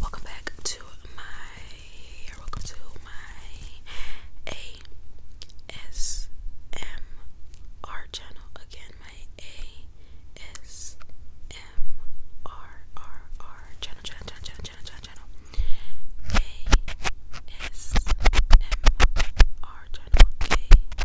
Welcome back to my welcome to my ASMR channel again. My ASMR channel channel channel channel channel channel ASMR channel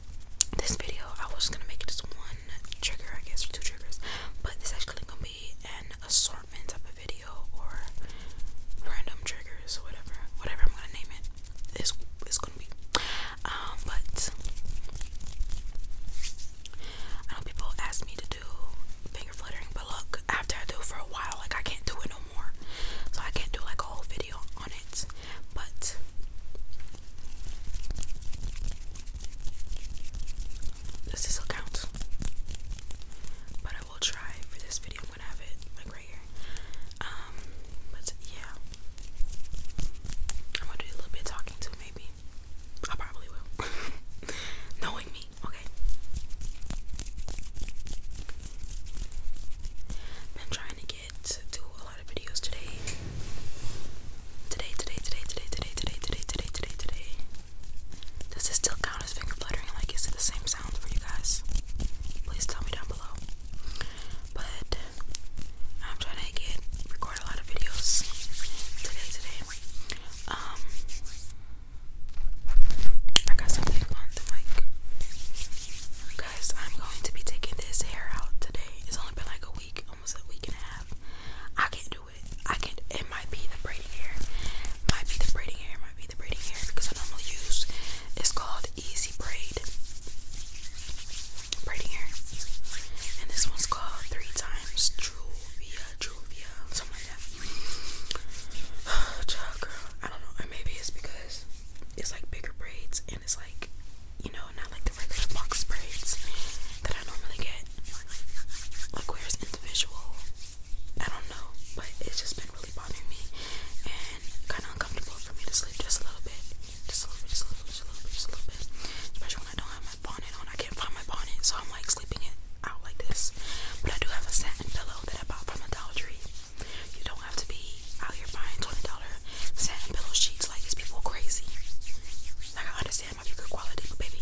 this video, I was gonna make it just one trigger, I guess, or two triggers, but this actually gonna be an assortment type of video or random triggers or whatever, whatever I'm gonna name it. This it's gonna be, um, but I know people ask me to do finger fluttering, but look, after I do for a while, like I can't do it no more, so I can't do like a whole video on it. But does this count? But I will try for this video. I'm gonna have it like right here. Um, but yeah, I'm gonna do a little bit talking to maybe. I probably will. Knowing me, okay. Been trying to do a lot of videos today. Today, today, today, today, today, today, today, today, today, today. Does this still count as finger fluttering? Like, is it the same sound for you guys? Please tell me down below. But I'm trying to get record a lot of videos today, today. Um, I got something on the mic. Guys, I'm going to be taking this hair out today. It's only been like a week, almost a week and a half. I can't do it. I can it might be the braiding hair. Might be the braiding hair, might be the braiding hair because I normally use it's called Easy Braid. Braiding hair. And this one's called three times Truvia, Truvia, something like that. Oh, child girl. I don't know. Or maybe it's because it's like bigger braids and it's like, you know, not like the regular box braids that I normally get. Like where it's individual. I don't know, but it's just been really bothering me and kind of uncomfortable for me to sleep just a little bit, just a little bit, just a little bit, just a little bit, just a little bit. Especially when I don't have my bonnet on, I can't find my bonnet, so I'm like sleeping it out like this. But I do have a satin pillow that I bought from a Dollar Tree. You don't have to be out here buying $20 satin pillow sheets. Like these people are crazy. Like I understand might be quality, but baby,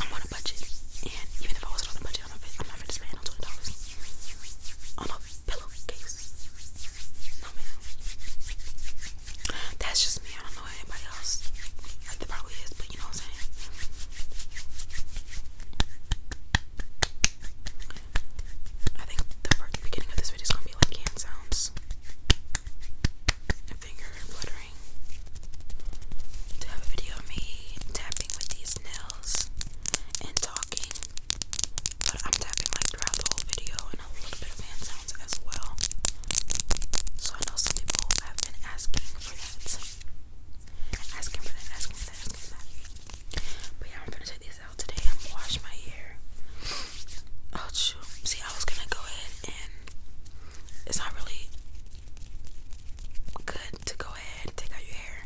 I'm on a budget. And even if I wasn't on a budget, I'm not i on twenty dollars on a pillowcase. No man. That's just me. I don't know anybody else. Like probably is, but you know what I'm saying. I think the beginning of this video is gonna be like hand sounds finger fluttering to have a video of me tapping with these nails and talking. But I'm tapping like throughout the whole video and a little bit of hand sounds as well. So I know some people have been asking for that. Asking for that, asking for that, asking for that. But yeah, I'm gonna take these out today. I'm gonna wash my hair. Ouch. See, I was gonna go ahead and it's not really good to go ahead and take out your hair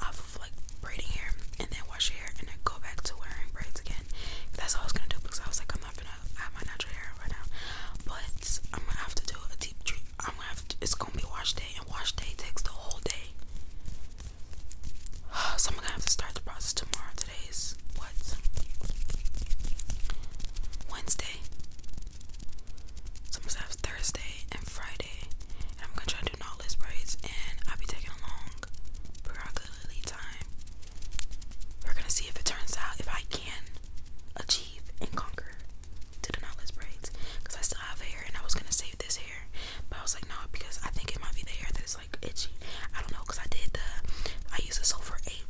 off of like braiding hair and then wash your hair and then go back to wearing braids again. That's all I was gonna do because I was like, I'm not gonna have my natural hair right now, but I'm gonna have to do a deep treat. I'm gonna have to, it's gonna be wash day, and wash day takes the whole day. So I'm gonna have to start the process tomorrow today what? Wednesday. So I'm gonna have Thursday and Friday. And I'm gonna try to do knotless braids and I'll be taking a long prerogatively time. We're gonna see if it turns out if I can achieve and conquer to the knotless braids. Because I still have hair and I was gonna save this hair. But I was like, no, because I think it might be the hair that is like itchy. I don't know, cause I did the. I use a sulfur eight.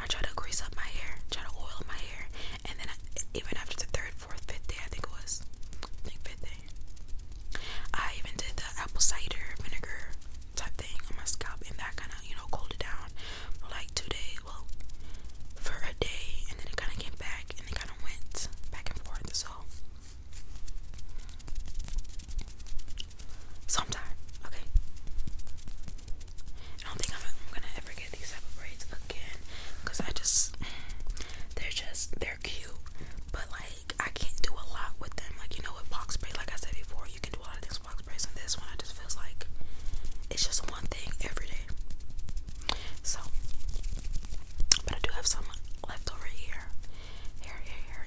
I try to grease up my hair, try to oil my hair, and then I, even after the third, fourth, fifth day, I think it was, I think fifth day, I even did the apple cider vinegar type thing on my scalp, and that kind of you know cooled it down for like two days. Well, for a day, and then it kind of came back, and it kind of went back and forth. So so I'm tired, okay? I don't think I'm, gonna ever get these type of braids again because I just, they're just, they're cute, but like I can't do a lot with them. Like, you know, with box braid, like I said before, you can do a lot of things with box braids, and this one I just feels like it's just one thing every day. So, but I do have some left over here, here, here, here,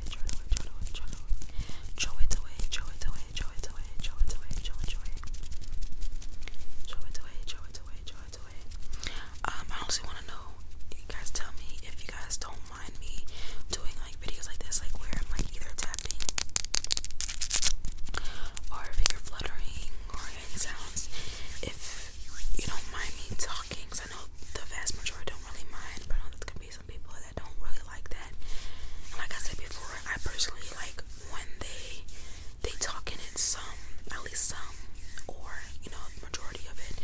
away, throw it away, throw it away, throw it away. Throw it away, throw it away, throw it away, throw it away, throw it away. Throw it away, throw it away, Um, I honestly wanna know, you guys tell me if you guys don't mind me doing like videos like this, like where I'm like either tapping or finger fluttering or any sounds. If you don't mind me talking, I know the vast majority don't really mind, but I know that's some people that don't really like that. like I said before, I personally like when they they talk in it some, at least some, or you know, majority of it.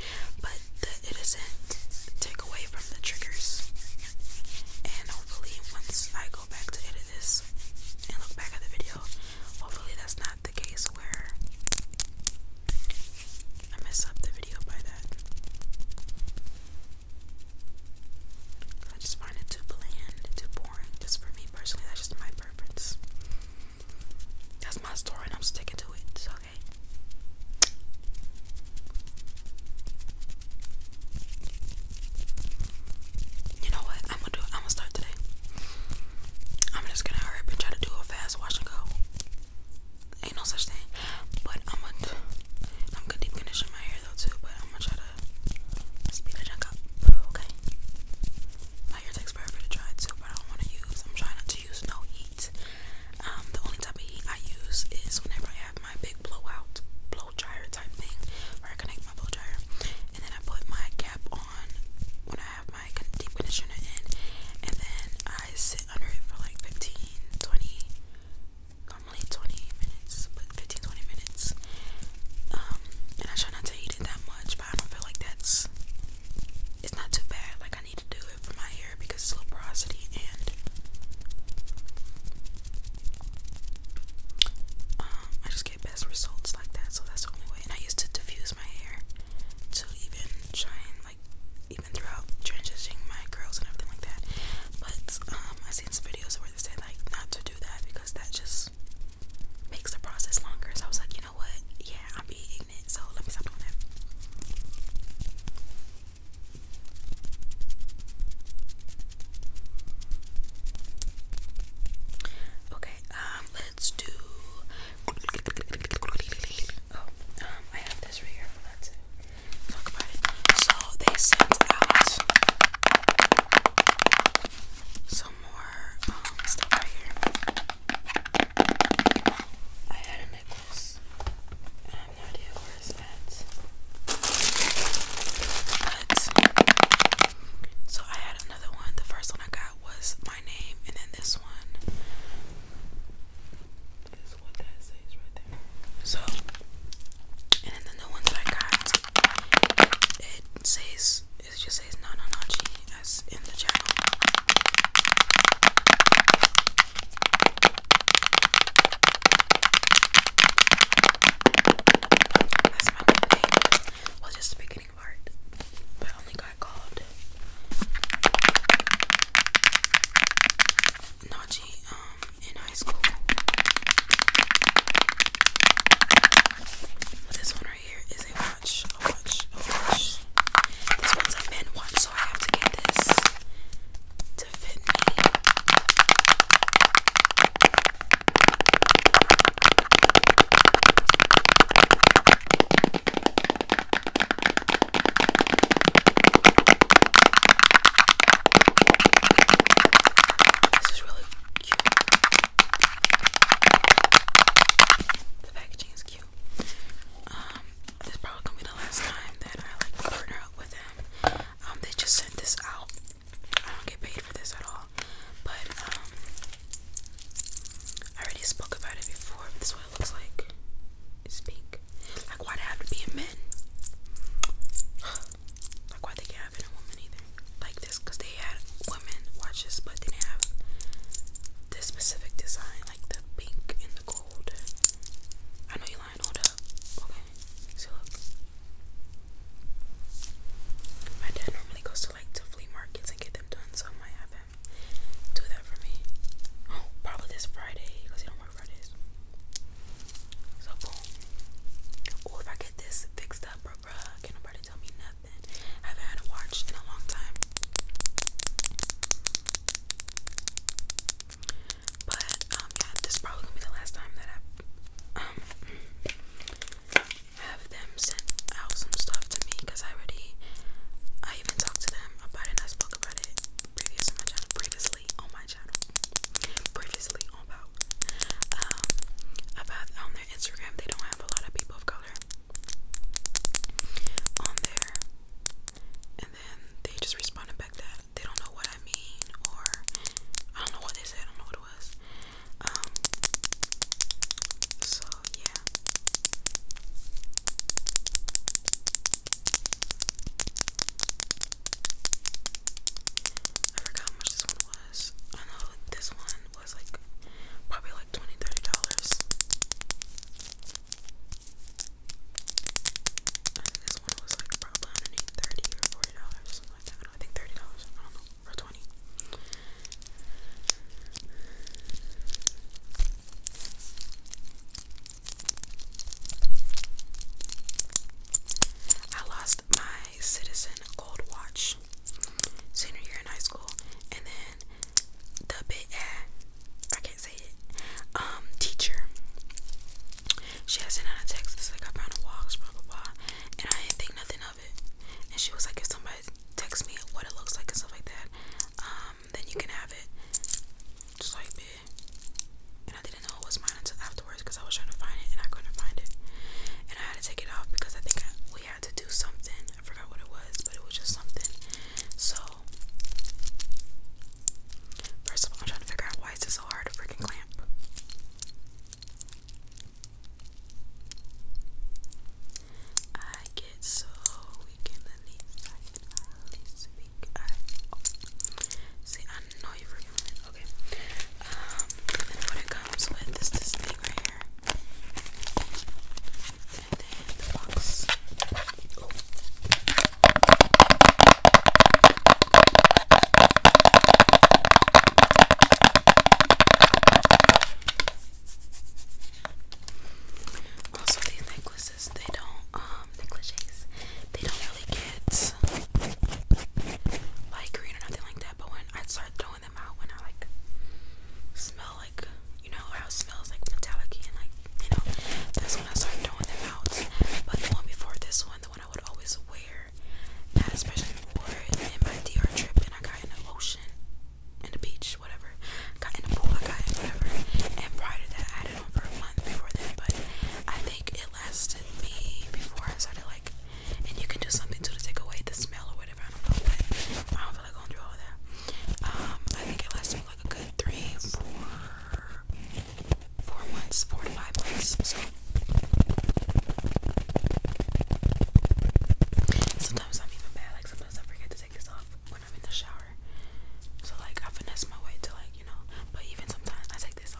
But the, it doesn't take away from the triggers. And hopefully, once I go back to edit this and look back at the video, hopefully that's not the case where I mess up the video by that. I just find it too bland, too boring. Just for me personally, that's just my preference. That's my story, and I'm sticking to it. Okay. You know what? I'm gonna do. It. I'm gonna start today. I'm just gonna hurry and try to do a fast wash and go. Ain't no such thing. But I'm gonna, I'm gonna deep condition my hair though too. But I'm gonna try to speed the up. Okay. My hair takes forever to dry too, but I don't want to use. I'm trying not to use no heat. Um, the only type of heat I use is whenever I have my big blowout blow dryer type thing, where I connect my blow dryer, and then I put my cap on when I have my deep conditioner in, and then I sit under it for like 15, normally 20 minutes, but 15 minutes. Um, and I try not to eat it that much, but I don't feel like that's it's not too bad. Like, I need to do it for my hair because it's low porosity and um, I just get best results like that, so that's the only way. And I used to diffuse my hair to even try and like even throughout transitioning my curls and everything like that. But um, I've seen some videos where they say like not to do that because that just makes the process longer. So I was like, you know what? Yeah, I'm being it. so let me stop doing that. Okay, um, let's do. Oh, um, I have this right here. So they sent out some more um, stuff right here. I had a necklace, and I have no idea where But so I had another one. The first one I got was my name, and then this one. So, and then the new ones I got, it says, it just says no, no, no, G in the channel. That's my new Well, just the beginning part, but I only got called. Najee um, in high school. This one right here is a watch, a watch, a watch. This one's a men watch, so I have to get this to fit me. This is really cute. The packaging is cute. Um, this probably gonna be the last time that I like partner up with them. Um, they just sent this out. I don't get paid for this at all. But um I already spoke about it before. This what it looks like. It's pink. Like why'd it have to be a men? Like why they can't have it in either. Like this because they had women watches but did have this specific design, like the pink and the gold. I know you lying, hold Okay. So My dad normally goes to like to flea markets and get them done, so might have him do that for me. Oh, probably this Friday because he don't so boom. Or if I get this fixed up, bruh, bruh, can nobody tell me nothing. haven't had a watch in a long time. But um, yeah, this is probably gonna be the last time that i um have them sent out some stuff to me because I already I even talked to them about it I spoke about it previously on my channel previously know about. Um, about on their Instagram, they don't have a lot of people of color on there, and then they just responded back that they don't know what I mean, or I don't know what they said, I don't know what it was. Um, so yeah. I forgot how much this one was. I know this one was like probably like $20, $30. I think this one was like probably underneath thirty or forty dollars, something like that. I think thirty dollars. I don't know, or twenty. I lost my Citizen Gold Watch senior year in high school, and then the big I can't say it. Um, teacher. She has sent out a text that's like I found a watch, blah blah blah, and I didn't think nothing of it. And she was like, if somebody texts me what it looks like and stuff like that, um, then you can have it. Just like, bit and I didn't know it was mine until afterwards because I was trying to find it and I couldn't find it. And I had to take it off because I think we had to do something. I forgot what it was, but it was just something. So, first of all, I'm trying to figure out why is it so hard to freaking clamp. I get so weak in the knees. Oh. See, I know you freaking Okay. Um, and what it comes with is this thing right here. And the box. Oh. Also, these necklaces, they don't, um, necklaces, they don't really get light green or nothing like that. But when I start throwing them out, when I like smell like you know how it smells like metallic and like you know, that's when I start throwing them out. But the one before this one, the one I would always wear, especially before my DR trip, and I got in the ocean, in the beach, whatever. got in the pool, I got in whatever. And prior to that, I had it on for a month before that, but I think it lasted me before I started like and you can do something to take away the smell or whatever. I don't know, but I don't feel like going through all that. Um, I think it lasts me like a good three, four, four months, four to five months. sometimes I'm even bad. Like sometimes I forget to take this off when I'm in the shower. So like I finesse my way to like you know. But even sometimes I take this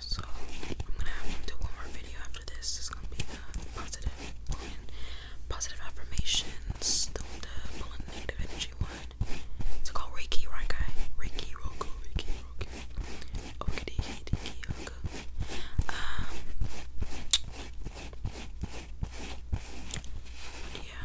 So I'm gonna have to do one more video after this. It's gonna be the positive and positive affirmations, pulling negative energy one. It's called Reiki, right guy? Reiki Roku, Reiki Roku. Okay, um, yeah,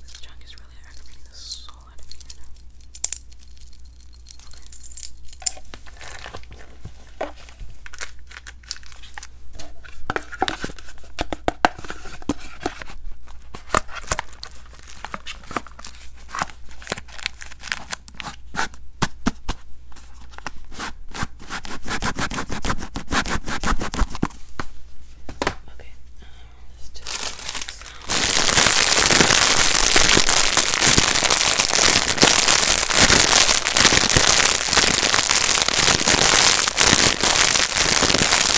This junk is really aggravating the soul out of me right now. Okay. Okay, let's do sound.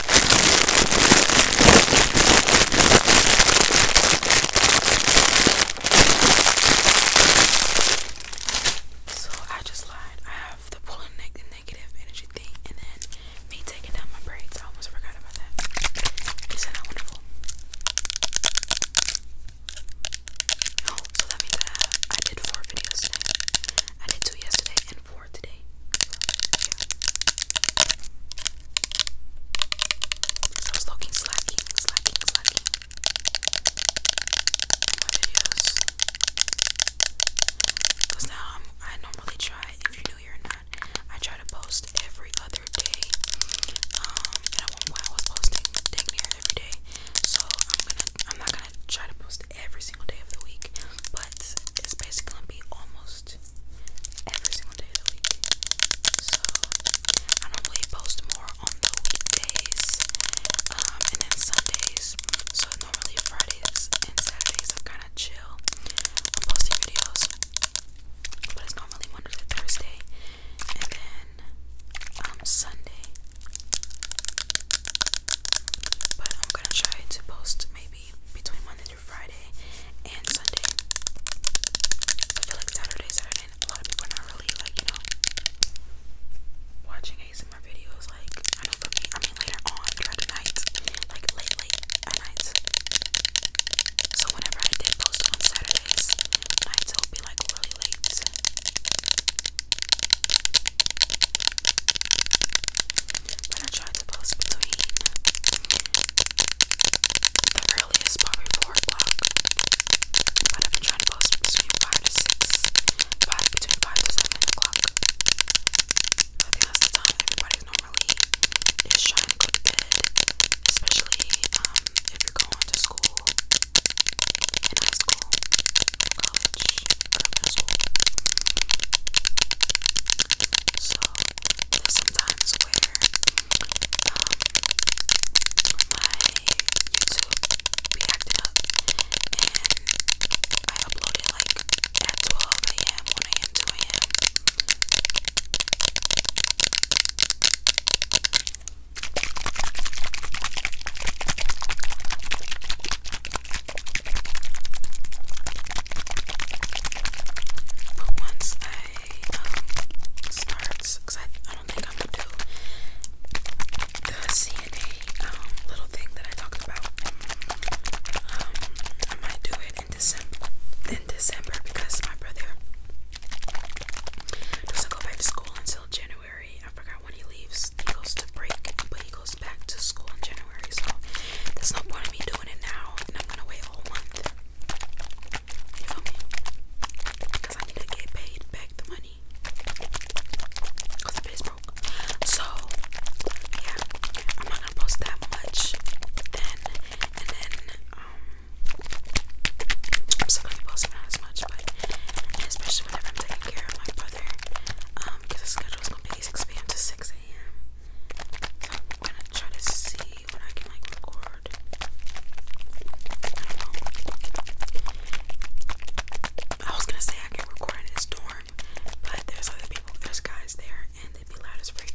So I just lied. I have the pulling negative energy thing, and then me taking down my braids. I almost forgot about that. Isn't that wonderful? Oh, so that means I, I did four videos today. I did two yesterday and four so, I am I normally try, if you're new here or not, I try to post every other day. Um, I won't I was posting dang near every day. So I'm gonna, I'm not gonna try to post every single day of the week, but it's basically gonna be almost every single day of the week. So I normally post more on the weekdays um, and then Sundays. So normally Fridays and Saturdays I'm kind of chill. I'm posting videos, but it's normally Monday to Thursday, and then um, Sunday. But I'm gonna try to post maybe between Monday through Friday and Sunday. I feel like Saturday, Saturday, a lot of people are not really like, you know, watching ASMR videos. Like, I know for I mean, later on throughout the like late, late at night. So, whenever I did post on Saturdays, nights it would be like really late but I tried to post between the earliest probably four o'clock. I've been trying to post between five to six, five between five to seven o'clock. I think that's the time everybody's normally is trying to go to especially um if you're going to school high school, college, middle school. So there's sometimes where um, my YouTube be acting up and I upload it like at 12 a.m., 1 a.m., 2 a.m. But once I um, start, because I, I don't think I'm going to do the CNA um, little thing that I talked about, um, I might do it in December, in December because my brother doesn't go back to school until January. I forgot when he leaves. He goes to break, but he goes back to school in January so there's no point in me doing it now, and I'm gonna wait all month. You Because I need to get paid back the money. Because the bitch broke. So, yeah, I'm not gonna post that much then, and then, um, I'm still gonna be posting as much, but especially whenever i taking care of my brother, um, because his schedule is gonna be 6 p.m. to 6 a.m. I'm gonna try to see when I can like record. I, was gonna say I can record in this dorm, but there's other people, there's guys there, and they'd be loud as freak,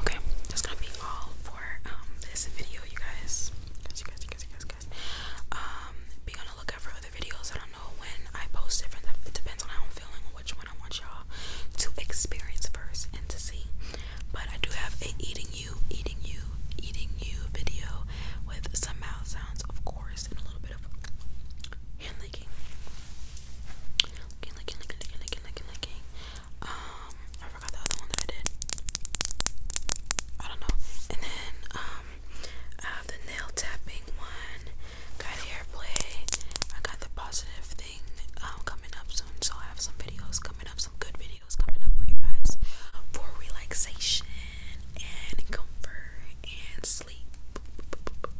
Okay, that's gonna be all for um, this video, you guys. Guys, you guys, you guys, you guys, guys. Um, be on the lookout for other videos. I don't know when I post different. It depends on how I'm feeling which one I want y'all to experience first and to see. But I do have a eating you, eating you, eating you video with some mouth sounds, of course, and a little bit of hand licking. Licking, licking, licking, licking, licking, licking. Um, I forgot the other one that I did. I don't know. And then um, I have the nail tapping one. Got hair I got the positive thing um, coming up soon, so I have some videos coming up, some good videos coming up for you guys for relaxation and comfort and sleep